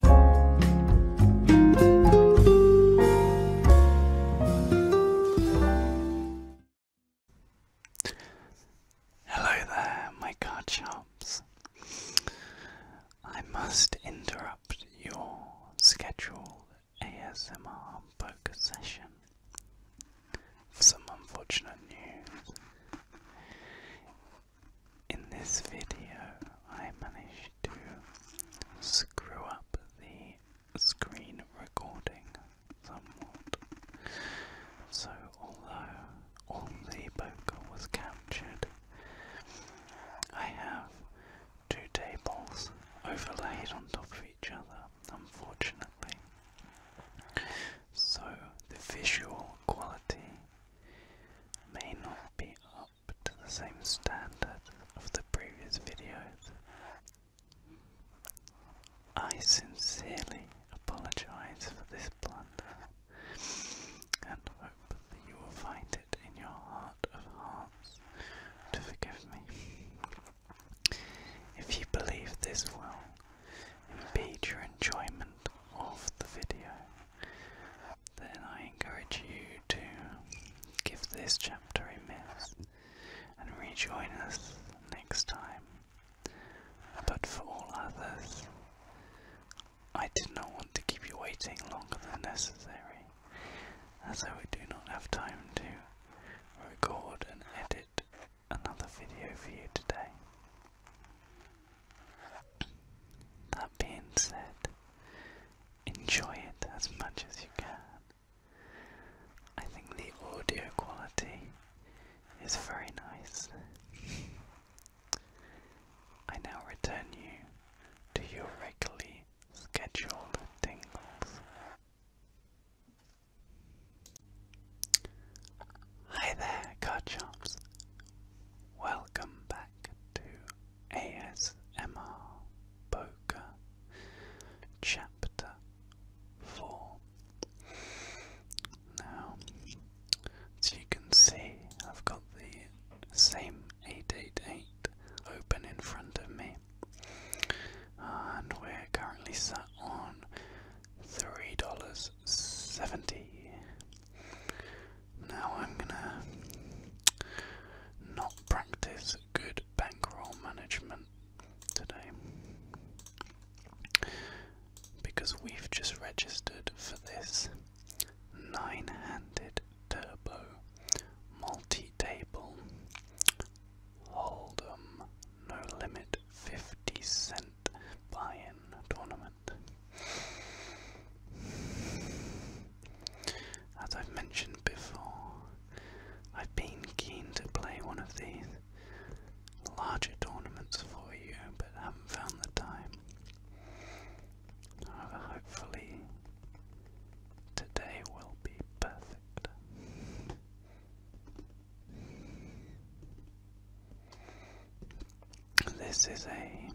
Hello there, my card shops. I must interrupt your scheduled ASMR poker session for some unfortunate news in this video, I managed to screw up the screen recording somewhat. So, although all the poker was captured, I have two tables overlaid on top of each other, unfortunately. So, the visual quality may not be up up to the same standard of the previous videos. I sincerely apologize for this blunder and hope that you will find it in your heart of hearts to forgive me. If you believe this will impede your enjoyment of the video, then I encourage you to give this chapter a miss and rejoin us next time. But for all others, I did not want to keep you waiting longer than necessary, as I do not have time to record and edit another video for you today. That being said, enjoy it as much as you can. I think the audio quality is very nice. I now return you to your regularly scheduled tingles. Hi there, Carchops. Welcome back to ASMR Poker Chapter 4. Now, as you can see, I've got the same 888 open in front of me, and we're currently sat on $3.70. Now I'm gonna not practice good bankroll management today because we've just registered for this nine handed turbo multi table hold'em no limit 50 cent buy in tournament. As I've mentioned before, I've been keen to play one of these larger tournaments for you, but haven't found the time. However, hopefully, today will be perfect. This is a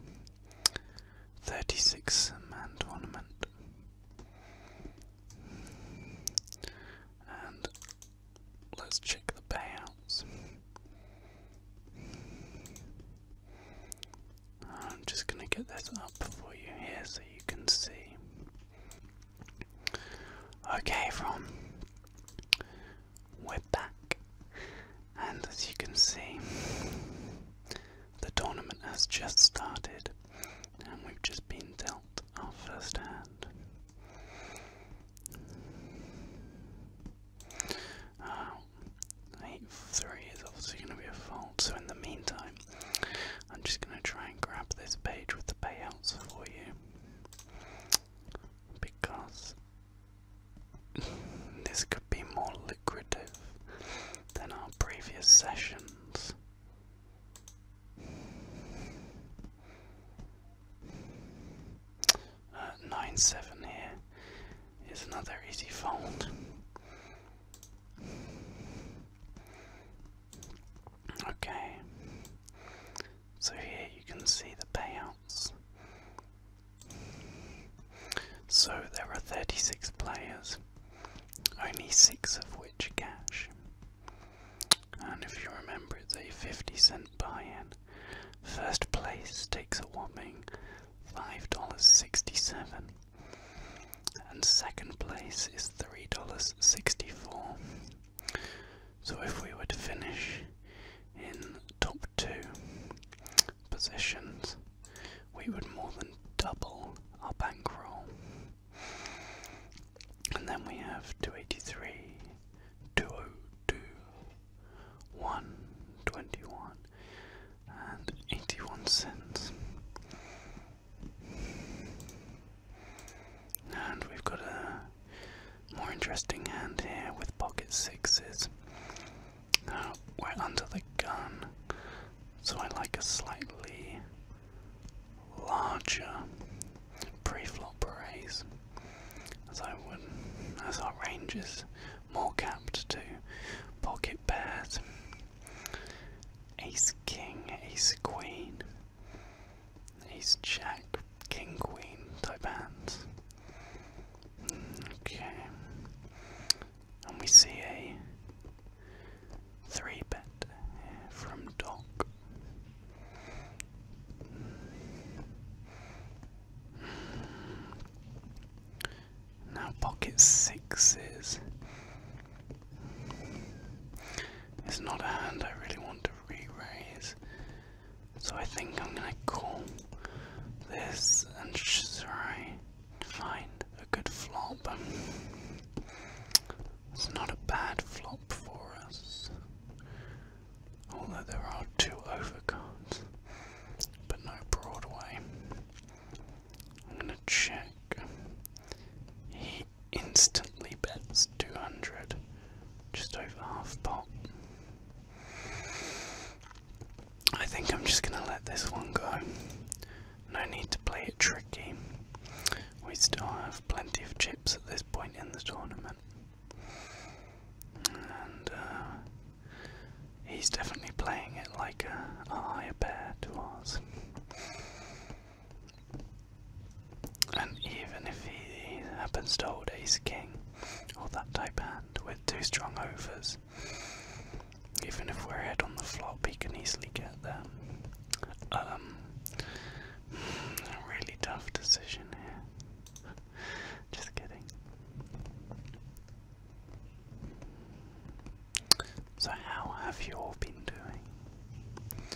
36 man tournament. And let's check the payouts. I'm just going to get this up for you here so you can see. Okay, from we're back. And as you can see, the tournament has just started, and we've just been dealt our first hand. Uh, 8 3 is obviously going to be a fold, so in the meantime, I'm just going to try and grab this page with the payouts for you. Because this could be more lucrative than our previous sessions. Uh, nine seven here is another easy fold. Okay, so here you can see the payouts so there are 36 players, only 6 of which cash. And if you remember, it's a 50 cent buy in. First place takes a whopping $5.67, and second place is $3.64. So if we were to finish in top two, positions, we would more than double our bankroll. And then we have 283, 202, and 81 cents. And we've got a more interesting hand here with pocket sixes. Uh, under the gun, so I like a slightly larger pre-flop raise, as I would, as our range more capped to pocket pairs, ace king, ace queen, ace jack, king queen type hands. Okay. And we see a three bet from Doc. Now pocket sixes. It's not a hand I really want to re-raise. So I think I'm gonna call this and try to find a good flop. It's not a bad flop for us. Although there are two overcards, but no Broadway. I'm gonna check. He instantly bets 200, just over half pot. I think I'm just gonna let this one go. No need to play it tricky. We still have plenty of chips at this point in the tournament. And uh, he's definitely playing it like a, higher pair to And even if he happens to hold ace king or that type hand with with two strong overs. Even if we're ahead on the flop, he can easily get there. Um, a really tough decision here. Just kidding. So, how have you all been doing?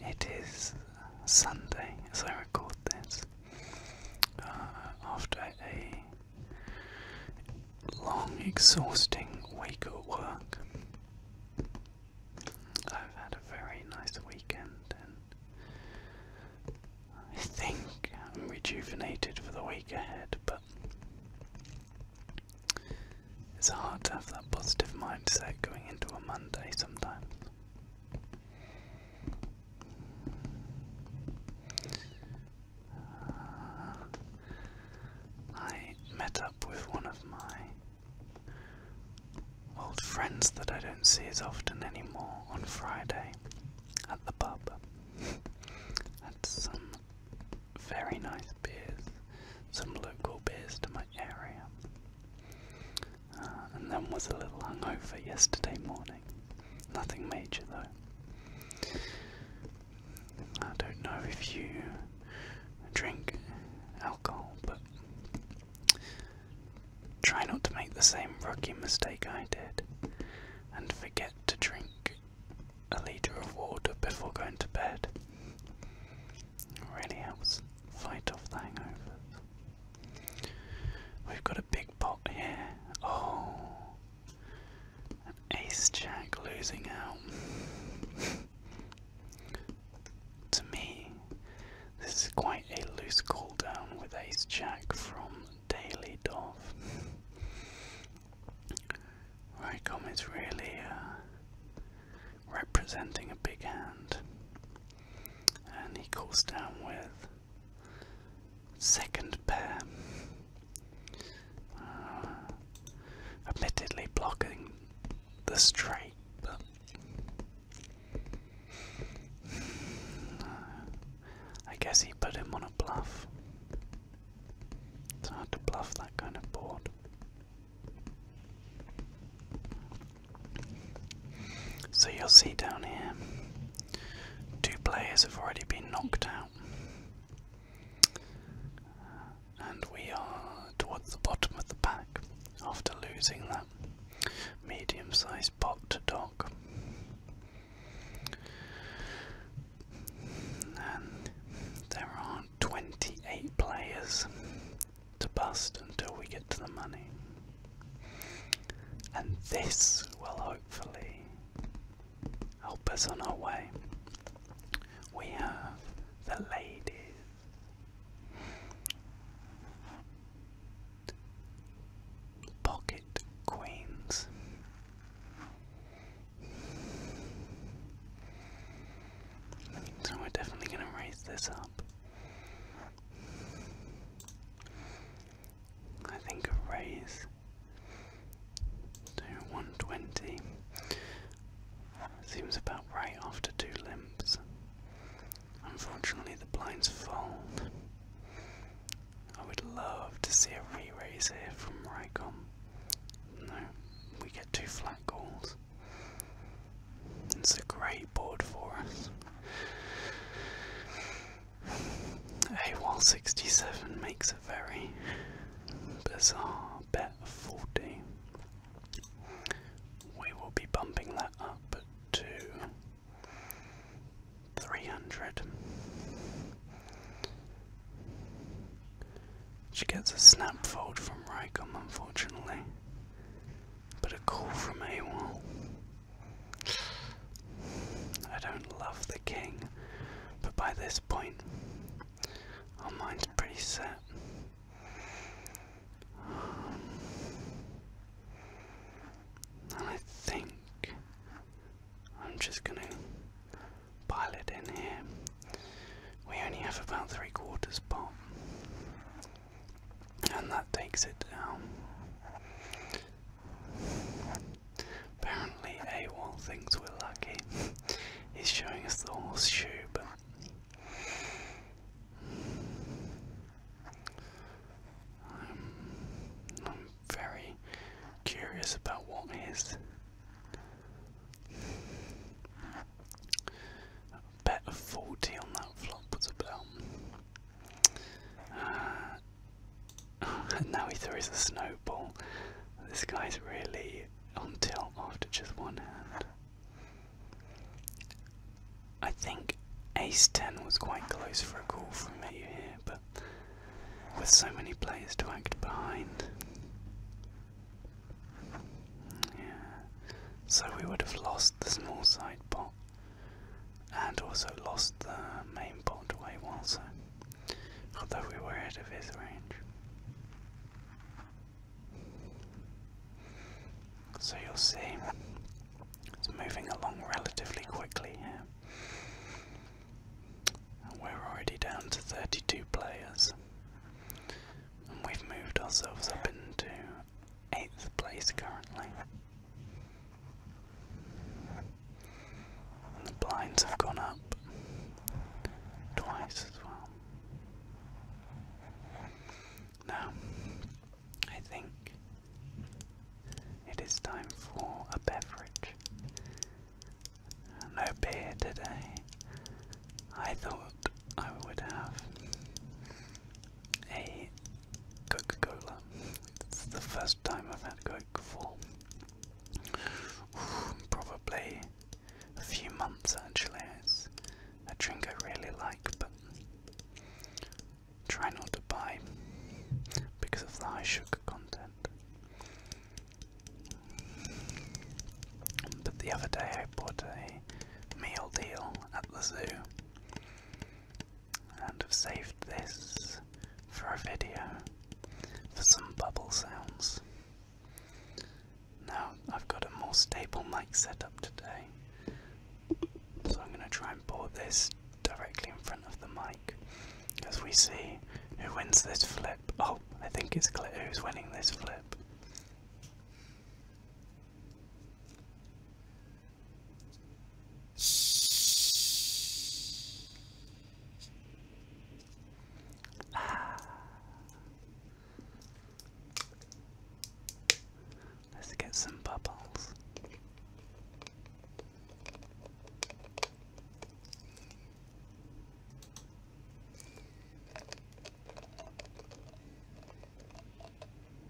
It is Sunday as I record this, uh, after a long, exhausting week at work. I've had a very nice weekend and I think I'm rejuvenated for the week ahead, but it's hard to have that positive mindset going into a Monday sometimes. I met up with one of my old friends that I don't see as often anymore on Friday at the pub. Had some very nice beers, some local beers to my area and then was a little hungover yesterday morning. Nothing major though. I don't know if you drink alcohol, but try not to make the same rookie mistake I did and forget to drink a litre of water before going to bed. really helps fight off the hangover. We've got a big pot here. Oh, ace jack losing out. to me, this is quite a loose call down with ace jack from Daily Dove. Rycom is really uh, representing a big hand and he goes down with second pair. Uh, admittedly blocking the straight, but uh, I guess he put him on a bluff. It's hard to bluff that kind of board. So you'll see down here, two players have already been knocked out. And we are towards the bottom of the pack after losing that medium sized pot to dock. And there are 28 players to bust until we get to the money. And this will hopefully help us on our way. We have the ladies. Pocket Queens. So we're definitely going to raise this up. I think a raise to 120 seems about right after two limps. Unfortunately, the blinds fold. I would love to see a re raise here from Rycom. No, we get two flat calls. It's a great board for us. AWOL 67 makes a very bizarre bet of 40. We will be bumping that up to 300. She gets a snap vote from Rycom, unfortunately. But a call from a AWOL. I don't love the king, but by this point, our mind's pretty set. and I think I'm just gonna pile it in here. We only have about three quarters bomb and that takes it down. Apparently, AWOL thinks we're lucky. He's showing us the horseshoe, but. I'm, very curious about what bet of 40 on that flop was about. and now he throws a snowball. This guy's really on tilt after just one hand. I think ace 10 was quite close for a call from me here, but with so many players to act behind. Yeah. So we would have lost the small side pot and also lost the main pot to Awasa, although we were out of his range. So you'll see it's moving along relatively quickly here. we're already down to 32 players, and we've moved ourselves up into eighth place currently. the blinds have gone up twice as well. Now, I think it is time for a beverage. No beer today. I thought I would have a Coca-Cola. It's the first time I've had Coke for probably a few months actually. It's a drink I really like, but try not to buy because of the high sugar content. But the other day I bought a meal deal at the zoo and have saved this for a video for some bubble sounds. Now I've got a more stable mic set up today, so I'm going to try and pour this directly in front of the mic as we see who wins this flip. Oh, I think it's clear who's winning this flip. Ah. Let's get some bubbles.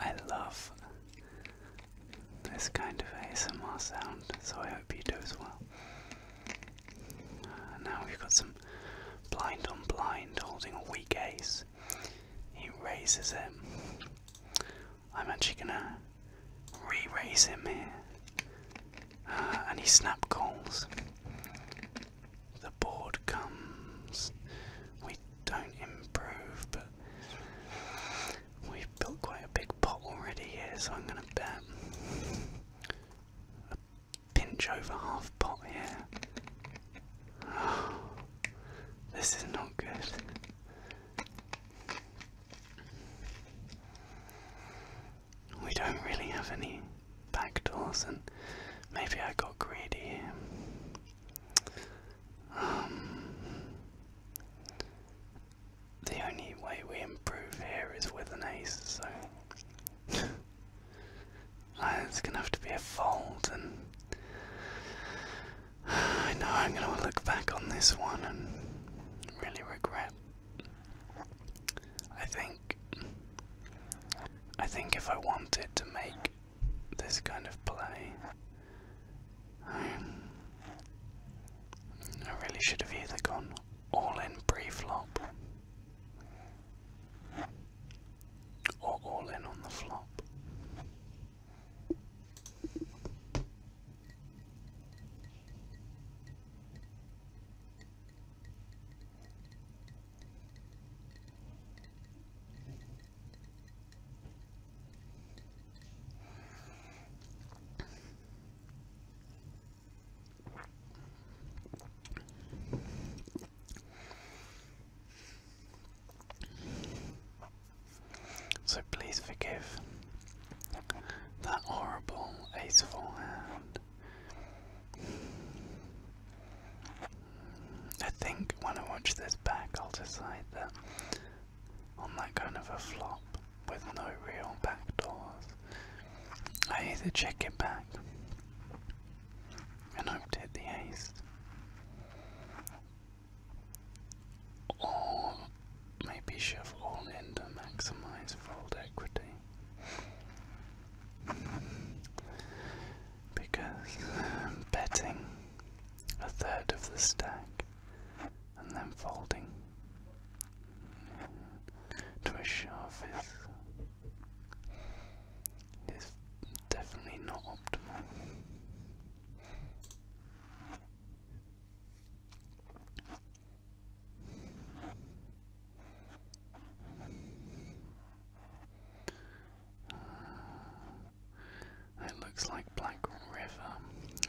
I love this kind of ASMR sound, so I hope you do as well. Uh, now we've got some blind on blind holding a weak ace. He raises it. I'm actually gonna re raise him here Any snap calls. The board comes. We don't improve, but we've built quite a big pot already here, so I'm going to bet a pinch over half pot here. this is not good we don't really have any back doors, and maybe I got greedy. Um, the only way we improve here is with an ace, so it's gonna have to be a fold, and I know I'm gonna look back on this one and really regret I think I think if I wanted to make this kind of play, I really should have either gone all in pre-flop or all in on the flop. So please forgive that horrible ace four hand. I think when I watch this back, I'll decide that on that kind of a flop with no real backdoors, I either check it back and i to hit the ace, or maybe shove all in to maximize fold equity. Because um, betting a third of the stack and then folding to a shove is, is definitely not optimal it looks like Black River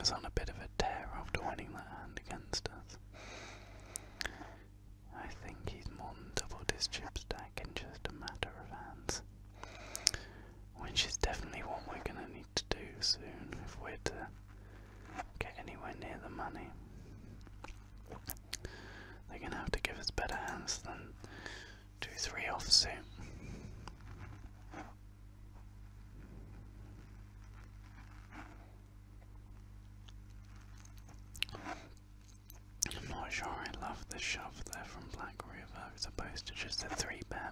is on a bit of a tear after winning that hand against us. I think he's more his chip stack in just a matter of hands. Which is definitely what we're gonna need to do soon if we're to get anywhere near the money. They're gonna have to give us better hands than 2-3 offsuit. I'm not sure I love the shove there from Black River as opposed to just a 3 bet.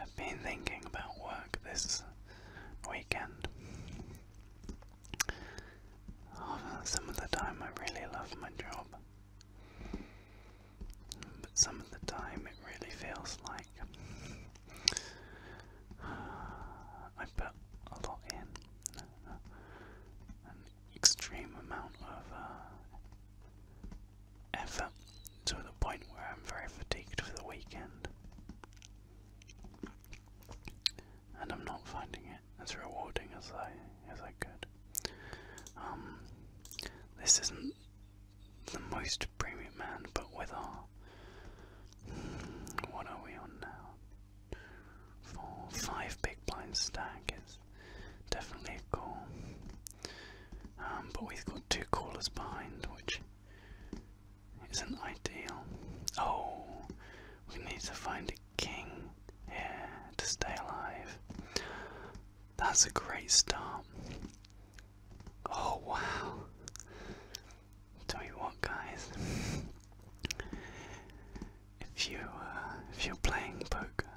I've been thinking about work this weekend. Oh, some of the time I really love my job, but some of the time it really feels like I put a lot in extreme amount of uh, effort to the point where I'm very fatigued for the weekend. And I'm not finding it as rewarding as I as I could. Um, this isn't the most premium man, but with our what are we on now? four, five big blind stack is definitely a call. Um, but we've got two callers behind, which isn't ideal. Oh, we need to find a king here to stay alive. That's a great start. Oh wow. Tell you what, guys, if you uh, if you're playing poker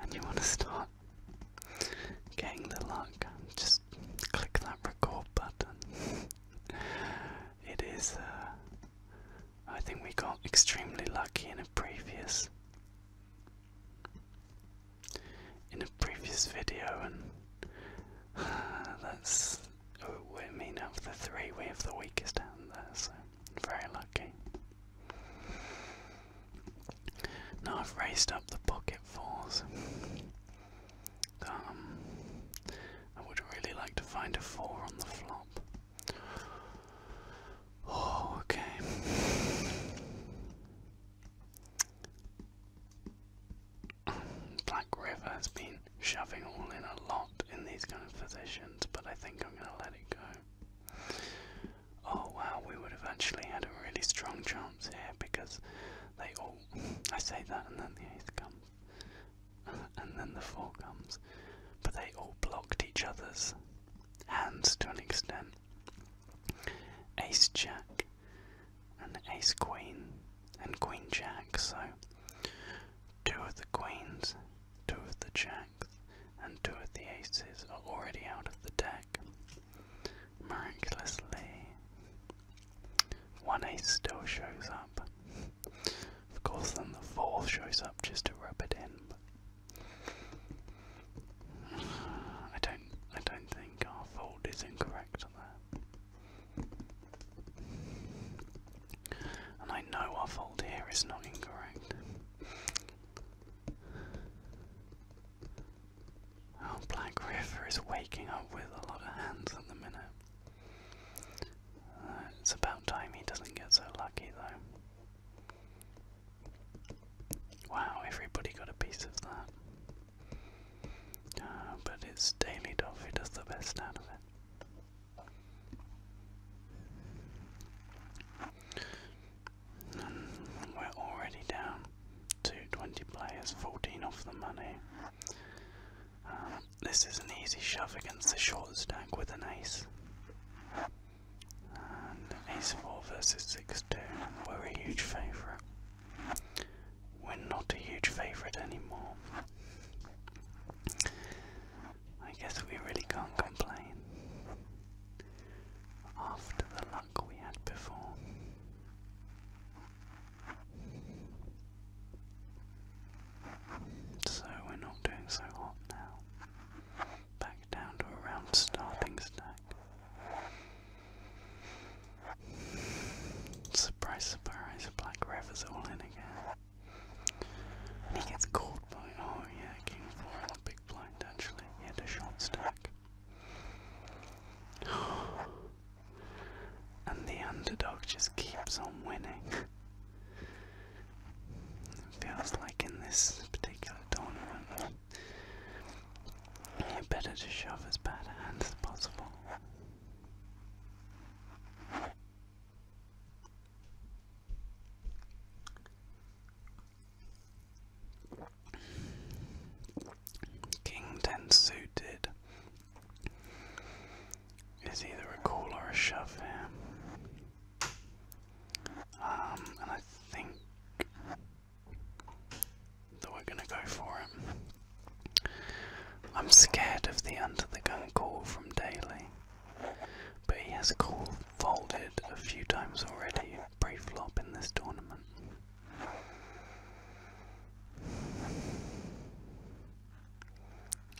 and you want to start getting the luck, just click that record button. it is. Uh, I think we got extremely lucky in a previous in a previous video, and that's we're oh, mean, of the three, we have the weakest hand there, so very lucky. Now I've raised up the pocket fours. Um, I would really like to find a four on the flop. Oh, okay. Black River has been shoving all in a lot in these kind of positions, but I think I'm going to let it go. Oh wow, we would have actually had a really strong chance here because they all. I say that and then the ace comes. And then the four comes. But they all blocked each other's hands to an extent. Ace Jack and Ace Queen and Queen Jack, so Two of the queens, two of the jacks, and two of the aces are already out of the deck. Miraculously, one ace still shows up. Of course, then the fourth shows up just to wrap it in. I don't. I don't think our fold is incorrect there. And I know our fold here is not incorrect. Oh, Black River is waking up with a lot of hands at the minute. Uh, it's about time he doesn't get so lucky, though. Wow, everybody got a piece of that. Uh, but it's Daily Dove who does the best out of it. We're already down to 20 players, 14 off the money. Um, this is an easy shove against the short stack with an ace. ace 4 versus 6 2. We're a huge favourite. We're not a huge favourite anymore. I guess we really can't complain after the luck we had before. So we're not doing so hot now. Back down to around starting stack. Surprise, surprise, Black Rev is all in again. And he gets called by, oh yeah, King 4 in the big blind actually. He had a short stack. and the underdog just keeps on winning. it feels like in this particular tournament, you better to shove as bad a as possible. King ten suited is either a call or a shove here. Um, and I think that we're gonna go for it. I'm scared of the under the gun call from Daly, but he has called folded a few times already pre flop in this tournament.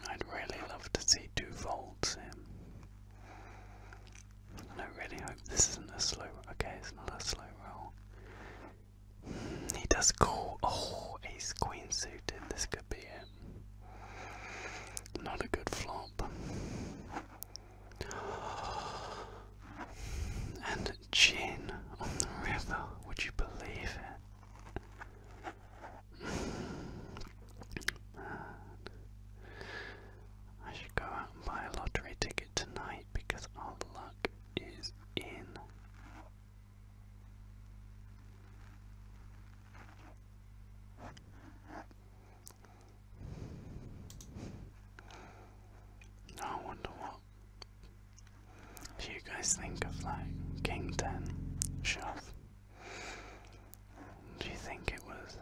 I'd really love to see two folds him. And I really hope this isn't a slow okay, it's not a slow roll. he does call oh ace queen suited, this could be it. Not a good flop. And gin on the river, would you believe it? I should go out and buy a lottery ticket tonight because our luck is in. I wonder what do you guys think of like King 10 Shelf? Do you think it was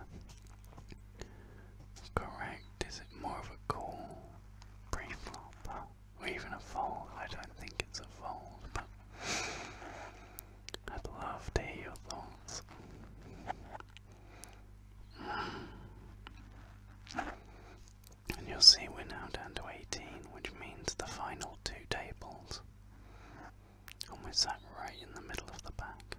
correct? Is it more of a cool pre or even a fold. I don't think it's a fold, but I'd love to hear your thoughts. And you'll see we're now down to 18, which means the final two tables. And we're sat right in the middle of the pack.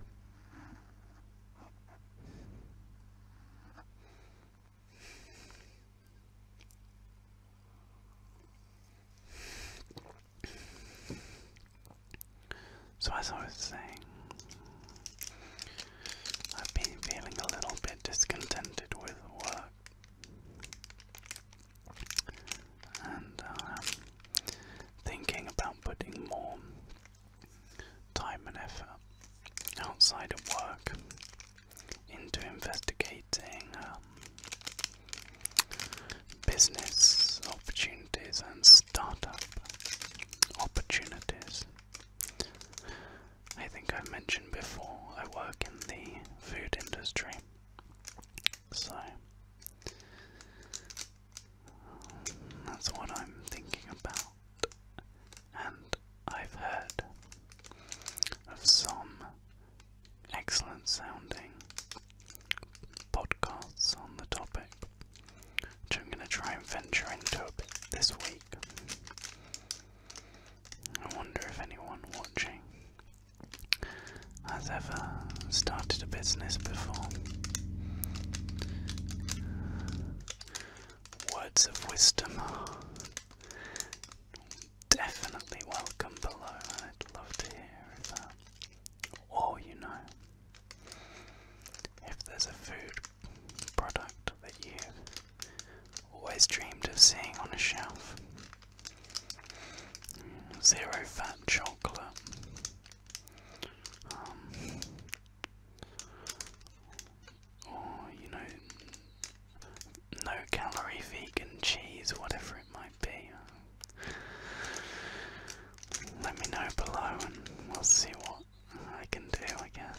So, as I was saying, I've been feeling a little bit discontented with work. And I'm uh, thinking about putting more time and effort outside of work into investigating um, business opportunities and startup opportunities. I think i mentioned before I work in the food industry, so that's what I'm thinking about. And I've heard of some excellent sounding podcasts on the topic, which I'm going to try and venture into this week. I wonder if anyone watching has ever started a business before. Words of wisdom definitely welcome below, I'd love to hear if, uh, or you know, if there's a food product that you've always dreamed of seeing on a shelf. Zero fat chocolate. Um, or, you know, no calorie vegan cheese, whatever it might be. Let me know below and we'll see what I can do, I guess.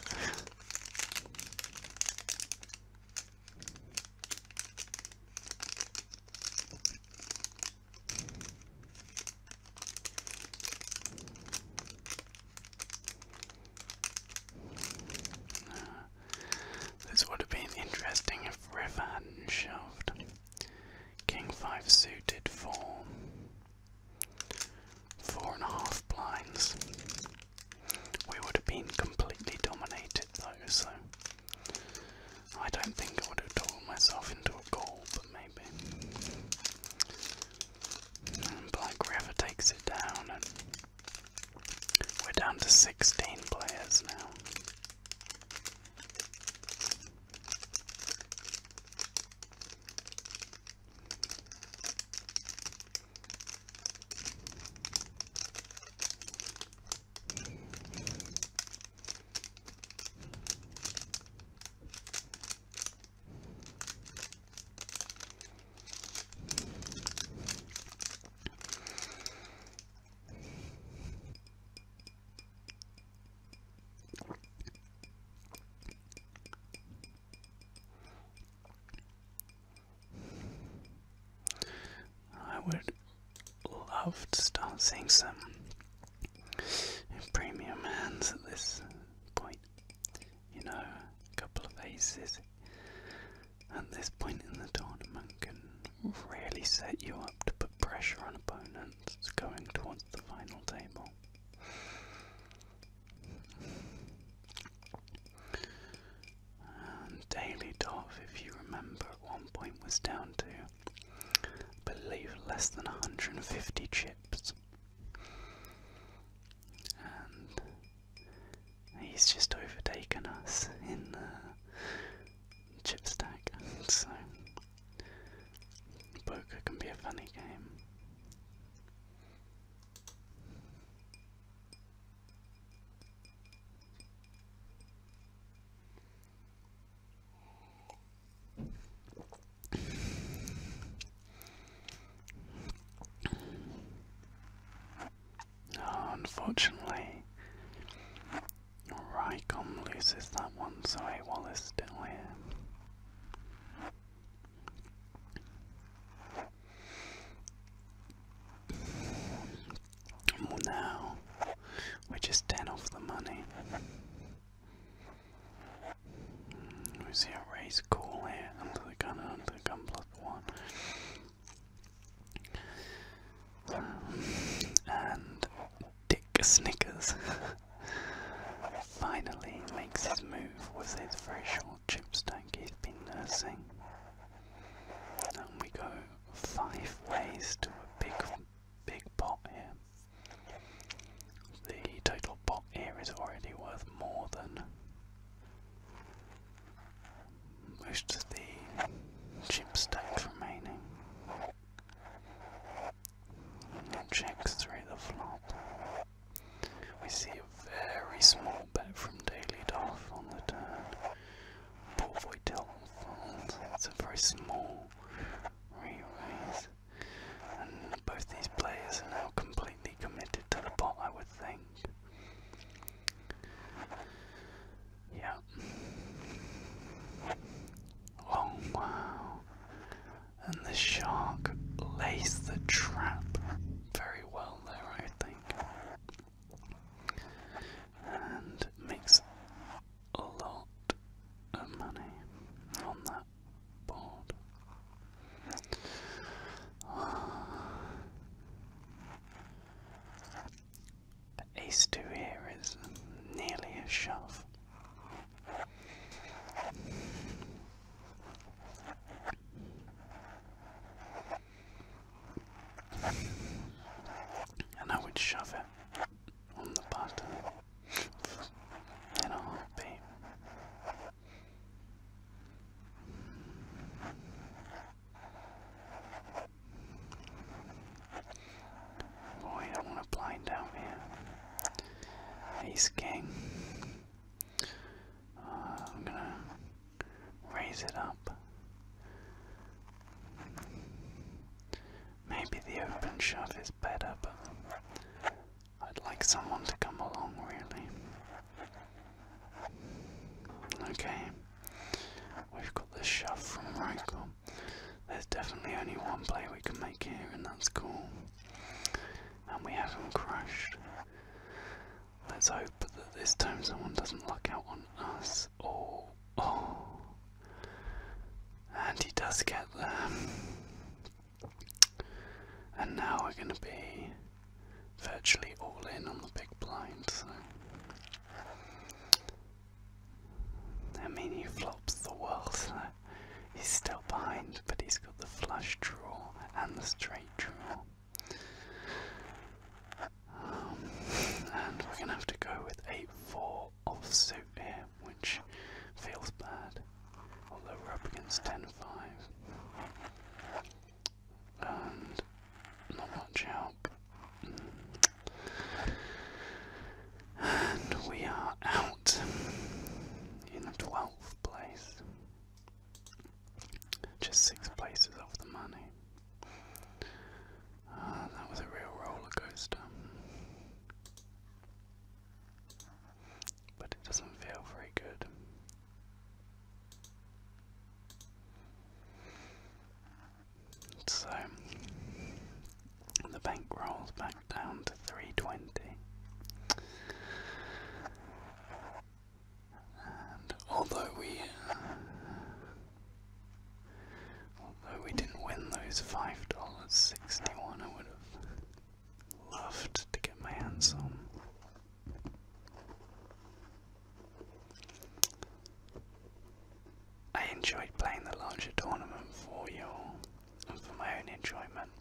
This would have been interesting if River hadn't shoved. King 5 suited for four and a half blinds. We would have been completely dominated though, so I don't think I would have talked myself into a goal, but maybe. Black River takes it down we're down to 16 players now. I would love to start seeing some premium hands at this point. You know, a couple of aces, at this point in the tournament can really set you up to put pressure on opponents going towards the final table. And Daily Dov, if you remember, at one point was down to, believe, less than 150 chips. And He's just overtaken us in the chip stack, so poker can be a funny game unfortunately, Rycom loses that one, so A Wallace still here. Well, now, we're just 10 off the money. We see a raise call here under the gun gun plus one. And Dick Snickers finally makes his move with his very short chip stack he's been nursing. And we go five ways to a big, big pot here. The total pot here is already worth more than most of the chip stack remaining and checks through the flop. We see a very small bet from Daily Duff on the turn. Poor Voitel folds. It's a very small re-raise. And both these players are now completely committed to the pot, I would think. Yeah. Oh wow. And the shark lays the trap very well there, I think. And makes a lot of money on that board. Ah. The ace two here is nearly a shove. And I would shove it on the button in a heartbeat. Boy, I want to blind out here. King. Uh, I'm gonna raise it up. Maybe the open shove is better, but I'd like someone to come along, really. Okay, we've got the shove from Reichel. There's definitely only one play we can make here, and that's cool. And we have not crushed. Let's hope that this time someone doesn't luck out on us. Oh, oh. And he does get there. And now we're going to be virtually all in on the big blind, so. I flops the world, he's still behind, but he's got the flush draw and the straight draw. Um, and we're gonna have to go with 8-4 offsuit here, which feels bad, although we're up against ten five and not much help. And we are out in the 12th place. Just six places off the money. Ah, that was a real roller coaster. But it doesn't feel very good. So the bank rolls back down to 320. And although we although we didn't win those five dollars sixty one I would have loved to get my hands on I enjoyed playing the larger tournament for you all and for my own enjoyment.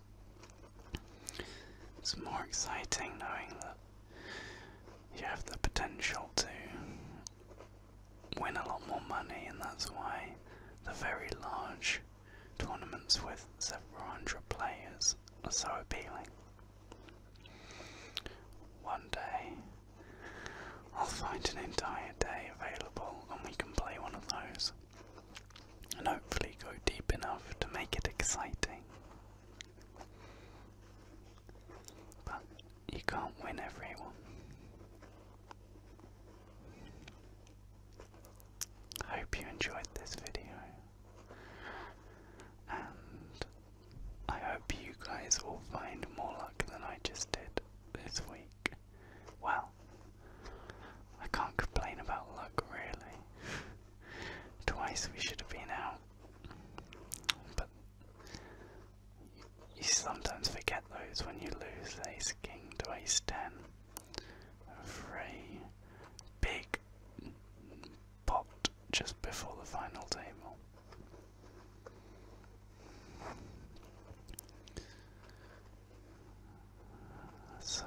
It's more exciting knowing that you have the potential to win a lot more money, and that's why the very large tournaments with several hundred players are so appealing. One day, I'll find an entire day available and we can play one of those. And hopefully go deep enough to make it exciting. But you can't win everyone. hope you enjoyed this video. And I hope you guys all find more luck than I just did this week. Well, I can't complain about luck really. Twice we should have been out. But you, sometimes forget those when you lose ace king to ace ten. Three big popped just before the final table. So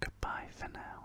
goodbye for now.